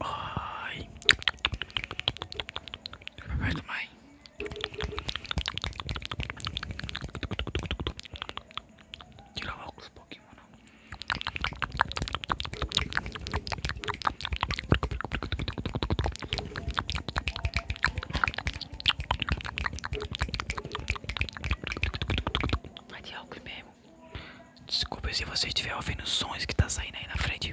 Ai. Vai tomar. tirava o óculos mano. Vai de óculos mesmo. Desculpe se você estiver ouvindo os sons que está saindo aí na frente.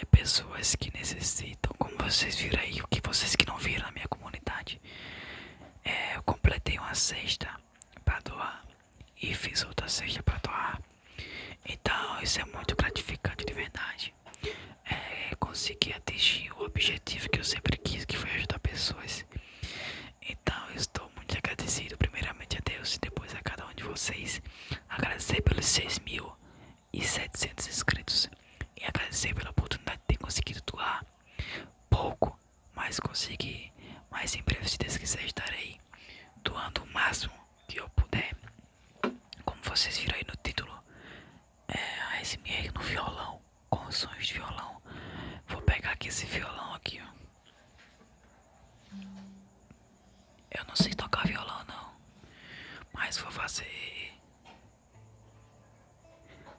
é, pessoas que necessitam, como vocês viram aí, o que vocês que não viram na minha comunidade, é, eu completei uma cesta para doar e fiz outra cesta para doar. Então isso é muito gratificante de verdade. É, consegui atingir o objetivo que eu sempre quis, que foi ajudar pessoas. Então estou muito agradecido primeiramente a Deus e depois a cada um de vocês. Agradecer pelos 6 mil e 700 inscritos e agradecer pela oportunidade de ter conseguido doar pouco, mas consegui. Mas em breve, se Deus quiser, estarei doando o máximo que eu puder. Como vocês viram aí no título, é a SMR no violão, com sons de violão. Vou pegar aqui esse violão aqui, eu não sei tocar violão não, mas vou fazer,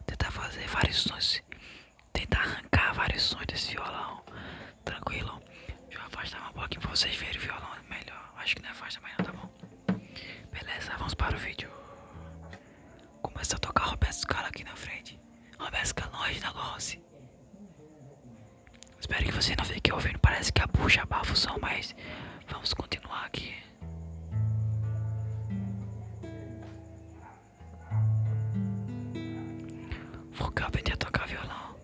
tentar fazer vários sons, tentar arrancar vários sons desse violão, tranquilo. Deixa eu afastar um pouquinho pra vocês verem o violão melhor, acho que não afasta mais não, tá bom? Beleza, vamos para o vídeo. Começa a tocar Roberto Scala aqui na frente, Roberto Scala longe da Lonce. Espero que você não fique ouvindo. Parece que a bucha abafa o som, mas vamos continuar aqui. Vou aprender a tocar violão.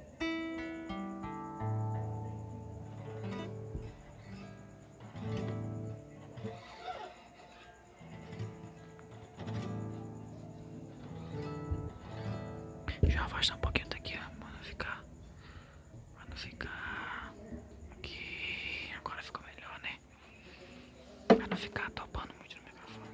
Já afastar um pouquinho daqui, mano, ficar não ficar que agora ficou melhor, né? Pra não ficar topando muito no microfone.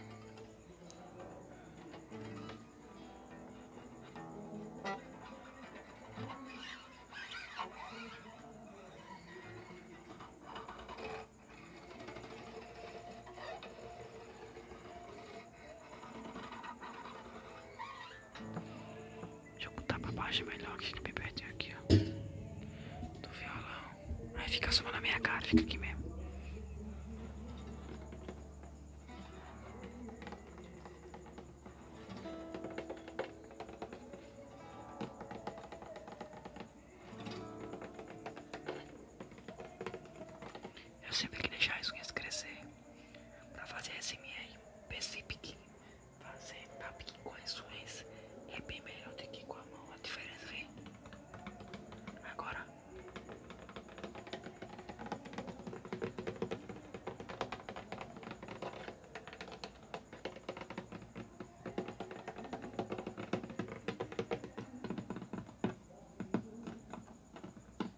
Deixa eu botar pra baixo melhor que fica bem aqui, ó. Do violão. Aí fica só na minha cara, fica aqui mesmo. Eu sempre queria deixar as unhas crescer. Pra fazer percebi que fazer PAPIC com insuência é bem melhor do que com a mão, a diferença vem. Agora.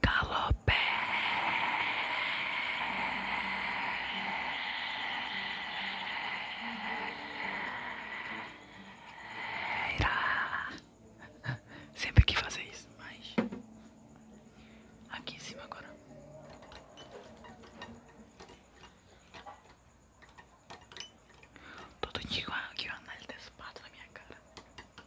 Calopeira, Sempre que fazer isso, mas aqui em cima agora. Todo dia que uma análise desse na minha cara.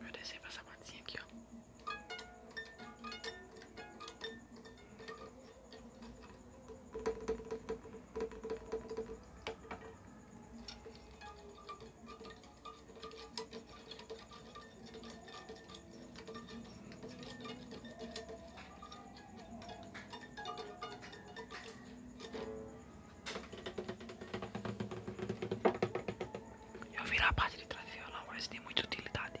Vou descer pra essa partezinha aqui, ó. Eu virar a parte de trás do violão, mas tem muita utilidade.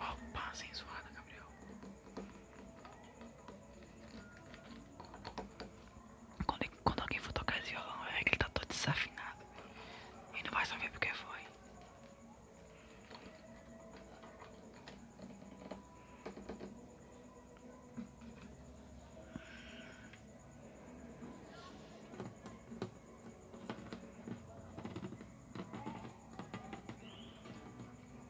Opa, sem suada, Gabriel. Quando, alguém for tocar esse violão, é que ele tá todo desafinado. E não vai saber porque foi.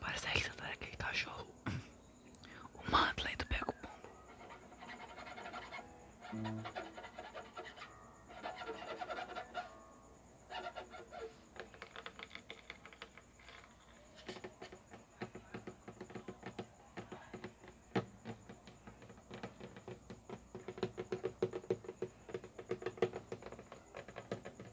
Parece a Alexandra tá aquele cachorro. O manto lento pega o pombo.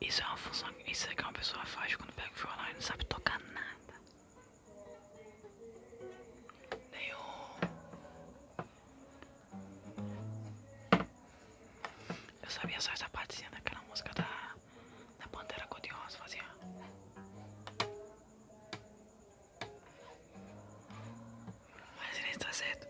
Isso é uma função, isso é que uma pessoa faz quando pega o violão e não sabe tocar nada. Nenhum eu sabia só essa partezinha daquela música da, da Pantera codiosa, de rosa fazia. Mas ele está certo.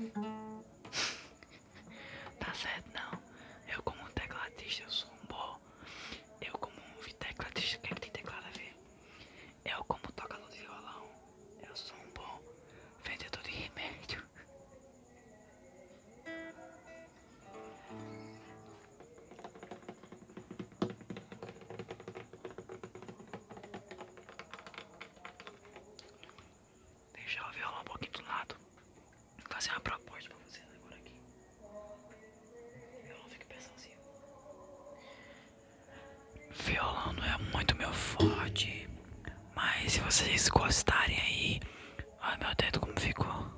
Sei lá. tá certo, não. Eu, como tecladista, eu sou um bom. Eu, como tecladista, o que é que tem teclado a ver? Eu, como tocador de violão, eu sou um bom vendedor de remédio. Deixar o violão um pouquinho do lado. Vou fazer uma proposta pra vocês agora aqui. Eu não fico pensando assim. Violão não é muito meu forte, mas se vocês gostarem aí, olha meu dedo como ficou.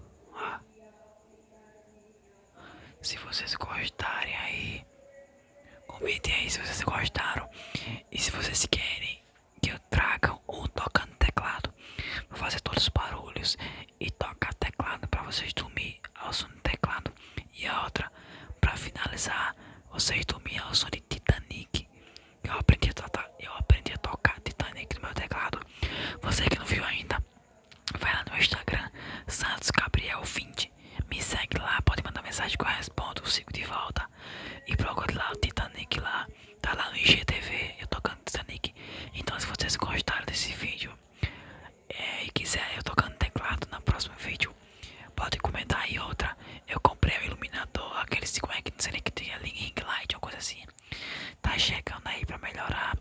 Se vocês gostarem aí, comentem aí se vocês gostaram e se vocês querem que eu traga um tocando teclado, vou fazer todos os barulhos e tocar teclado para vocês dormir ao som do teclado e a outra, para finalizar, vocês dormiam ao som de Titanic. Eu aprendi, a eu aprendi a tocar Titanic no meu teclado. Você que não viu ainda, vai lá no Instagram, Santos Gabriel 20. Me segue lá, pode mandar mensagem que eu respondo, sigo de volta. E procure lá o Titanic lá. Tá lá no IGTV, eu tocando Titanic. Então se vocês gostaram desse vídeo é, e quiser eu tocando teclado na próximo vídeo, Pode comentar aí outra. Eu comprei o iluminador, aquele como é que não sei nem que tinha ring light ou coisa assim. Tá chegando aí pra melhorar.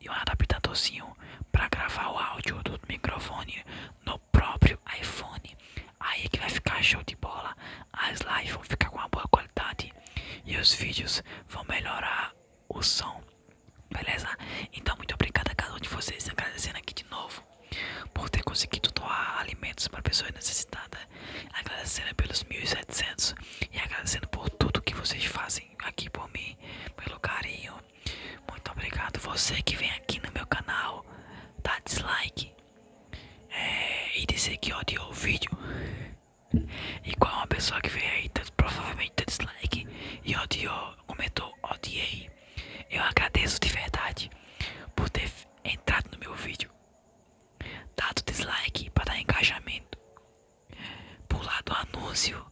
E um adaptadorzinho pra gravar o áudio do microfone no próprio iPhone. Aí que vai ficar show de bola. As lives vão ficar com uma boa qualidade. E os vídeos vão melhorar o som. Beleza? Então muito obrigado a cada um de vocês. Agradecendo aqui de novo por ter conseguido doar alimentos para pessoas necessitadas. Agradecendo pelos 1.700 e agradecendo por tudo que vocês fazem aqui por mim, pelo carinho. Muito obrigado. Você que vem aqui no meu canal, dá dislike é, e dizer que odiou o vídeo. E Igual é uma pessoa que vem aí, provavelmente dá dislike e odiou, comentou odiei. Eu agradeço de verdade por ter entrado no meu vídeo, dado dislike para dar engajamento, pulado o anúncio,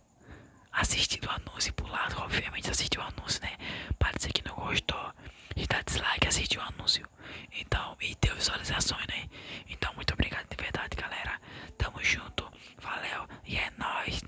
assistido o anúncio, pulado, obviamente assistir o anúncio, né? Parece que não gostou e dar dislike, assistiu o anúncio, então, e deu visualizações, né? Então, muito obrigado de verdade, galera. Tamo junto, valeu e é nóis.